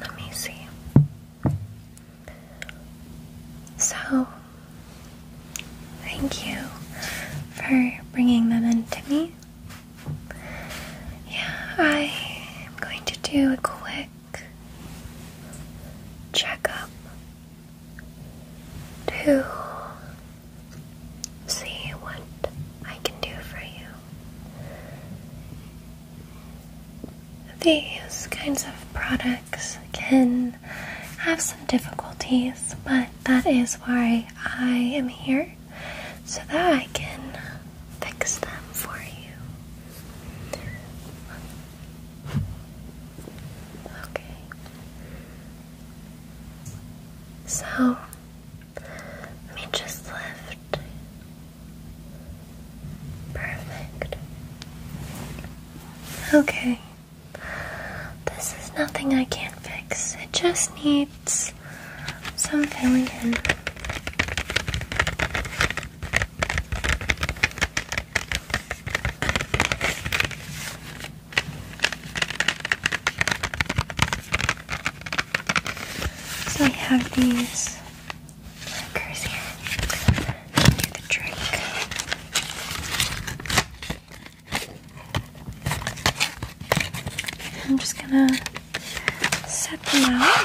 Let me see. So, thank you for bringing them in to me. Yeah, I am going to do a quick checkup to see what I can do for you. These kinds of products can have some difficulties, but that is why I am here so that I can fix them for you. Okay. So, let me just lift. Perfect. Okay. This is nothing I can't fix. It just needs some filling in. So I have these markers here. Do the drink. I'm just gonna set them out.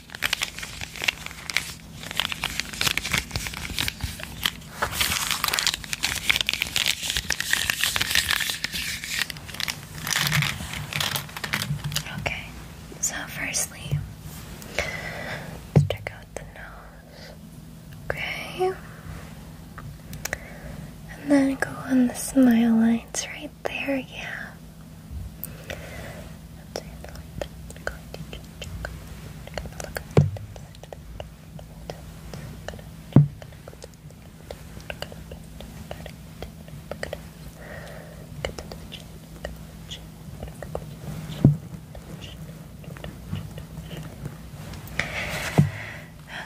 Okay, so firstly, let's check out the nose. Okay. And then go on the smile lines right there, yeah.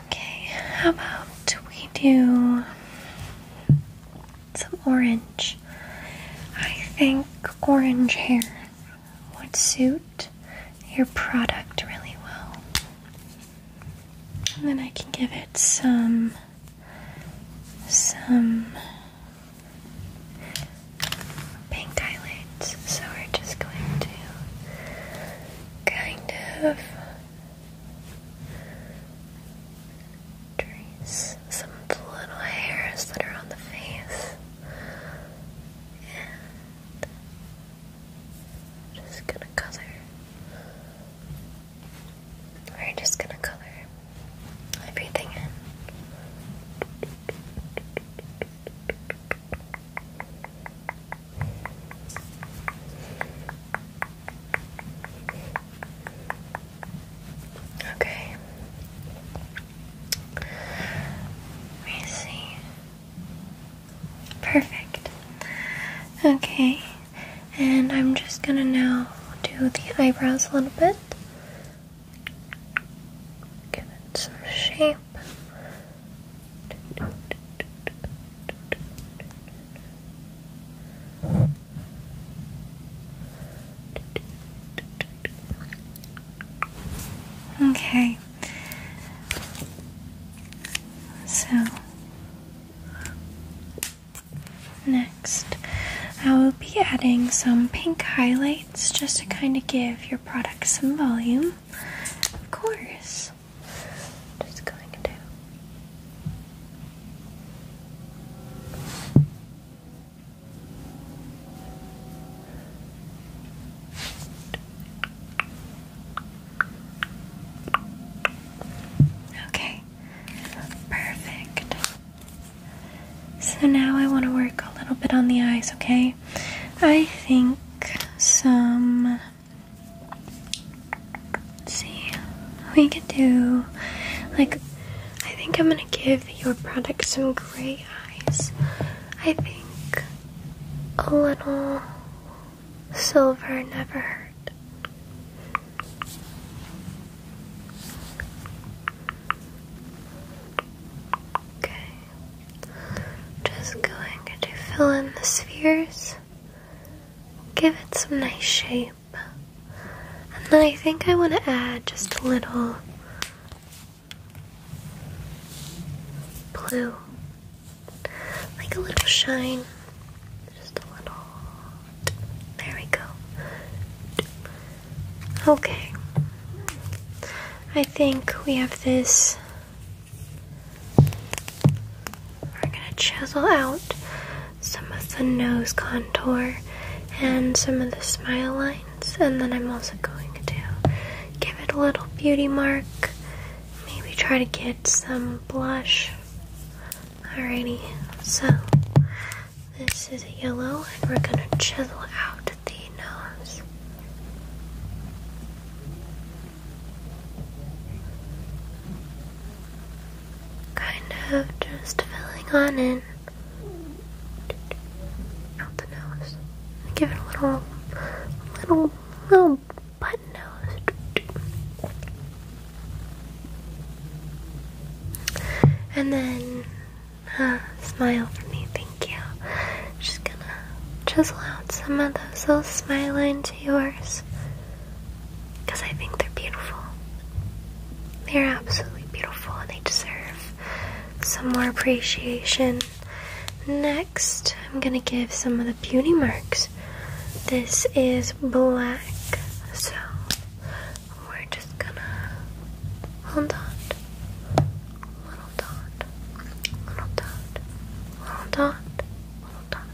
Okay, how about we do some orange. I think orange hair would suit your product really well. And then I can give it some some pink eyelids. So we're just going to kind of some little hairs that are on the face and just gonna color. We're just gonna color everything in. Okay. Let me see. Perfect. Okay. And I'm just gonna now do the eyebrows a little bit. Give it some shape. Okay. So next, I will be adding some pink highlights just to kind of give your product some volume. Of course. Just going down. Okay, perfect. So now I want to work a little bit on the eyes, okay? I think some See, we could do like I think I'm gonna give your product some gray eyes. I think a little silver never hurt. Okay. Just going to fill in the spheres give it some nice shape. And then I think I want to add just a little blue, like a little shine. Just a little. There we go. Okay. I think we have this we're going to chisel out some of the nose contour and some of the smile lines, and then I'm also going to give it a little beauty mark. Maybe try to get some blush. Alrighty, so this is yellow, and we're going to chisel out the nose. Kind of just filling on in. Out the nose. Give it a little, little, little button nose. And then uh, smile for me, thank you. Just gonna chisel out some of those little smile lines yours because I think they're beautiful. They're absolutely beautiful and they deserve some more appreciation. Next, I'm gonna give some of the beauty marks. This is black, so we're just gonna hold on little dot, little dot, little dot, little dot.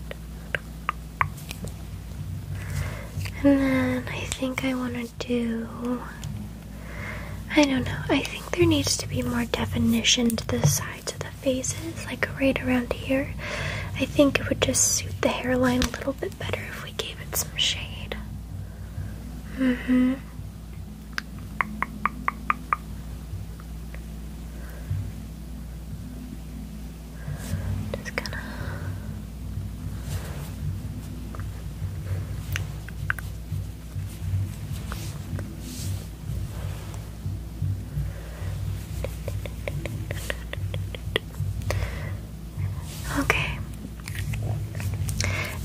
And then I think I want to do. I don't know. I think there needs to be more definition to the sides of the faces, like right around here. I think it would just suit the hairline a little bit better if we gave it some shade. hmm. Just gonna Okay.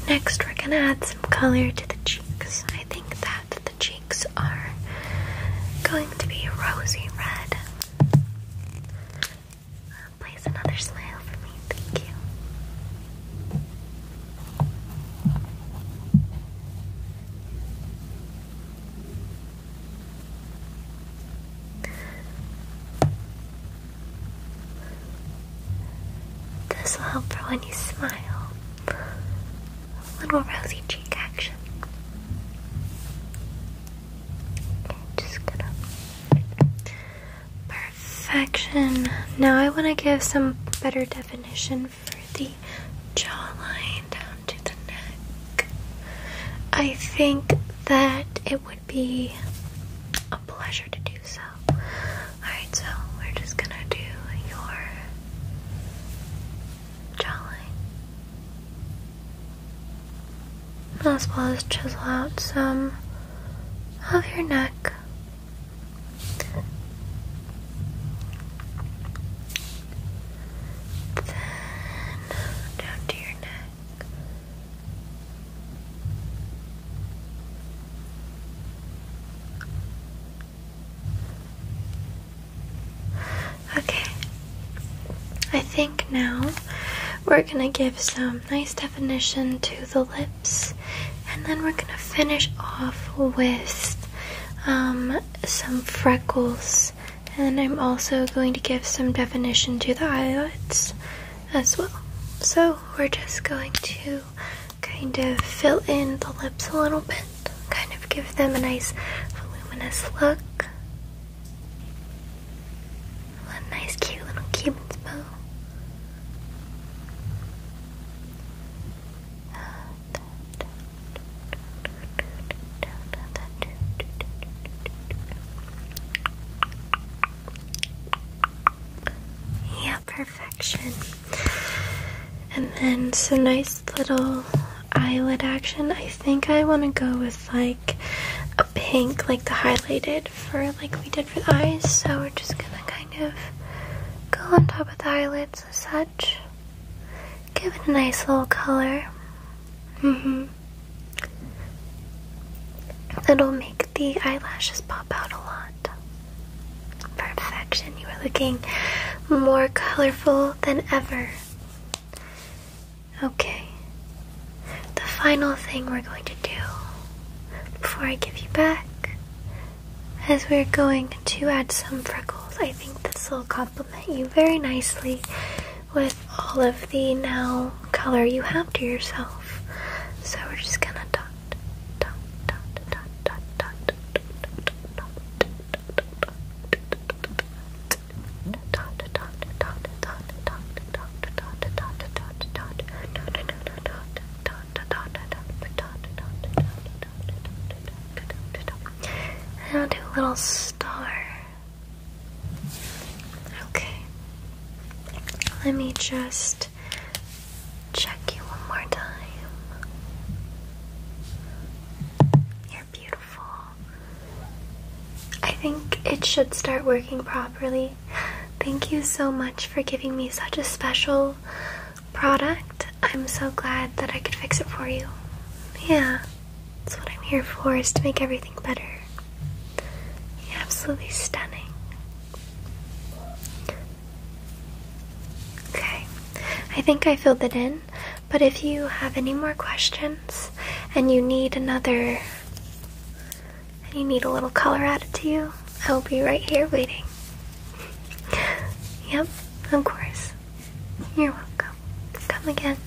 Next, we're gonna add some color to the cheeks. I think that the cheeks are going to be rosy red. Uh, another smile for me. Thank you. This will help for when you smile. A little rosy cheek action. just gonna. Perfection. Now I want to give some better definition for the jawline down to the neck. I think that it would be a pleasure to do so. Alright, so we're just gonna do your jawline. As well as chisel out some of your neck. Then down to your neck. Okay, I think now we're gonna give some nice definition to the lips, and then we're gonna finish off with um, some freckles. And I'm also going to give some definition to the eyelids as well. So we're just going to kind of fill in the lips a little bit, kind of give them a nice voluminous look. A nice cute little Cuban's bow. Yeah, perfection. And then some nice little eyelid action. I think I want to go with like a pink, like the highlighted for like we did for the eyes. So we're just gonna kind of go on top of the eyelids as such. Give it a nice little color. hmm That'll make the eyelashes pop out a lot. Perfection, you are looking more colorful than ever. Okay, the final thing we're going to do before I give you back is we're going to add some freckles. I think this will complement you very nicely with all of the now color you have to yourself. So we're just gonna dot, dot, dot, dot, dot, dot, dot, dot, dot, and I'll do a little star Okay. Let me just check you one more time. You're beautiful. I think it should start working properly. Thank you so much for giving me such a special product. I'm so glad that I could fix it for you. Yeah, that's what I'm here for, is to make everything better. Absolutely stunning. Okay, I think I filled it in, but if you have any more questions and you need another, and you need a little color added to you, I will be right here waiting. Yep, of course. You're welcome. Come again.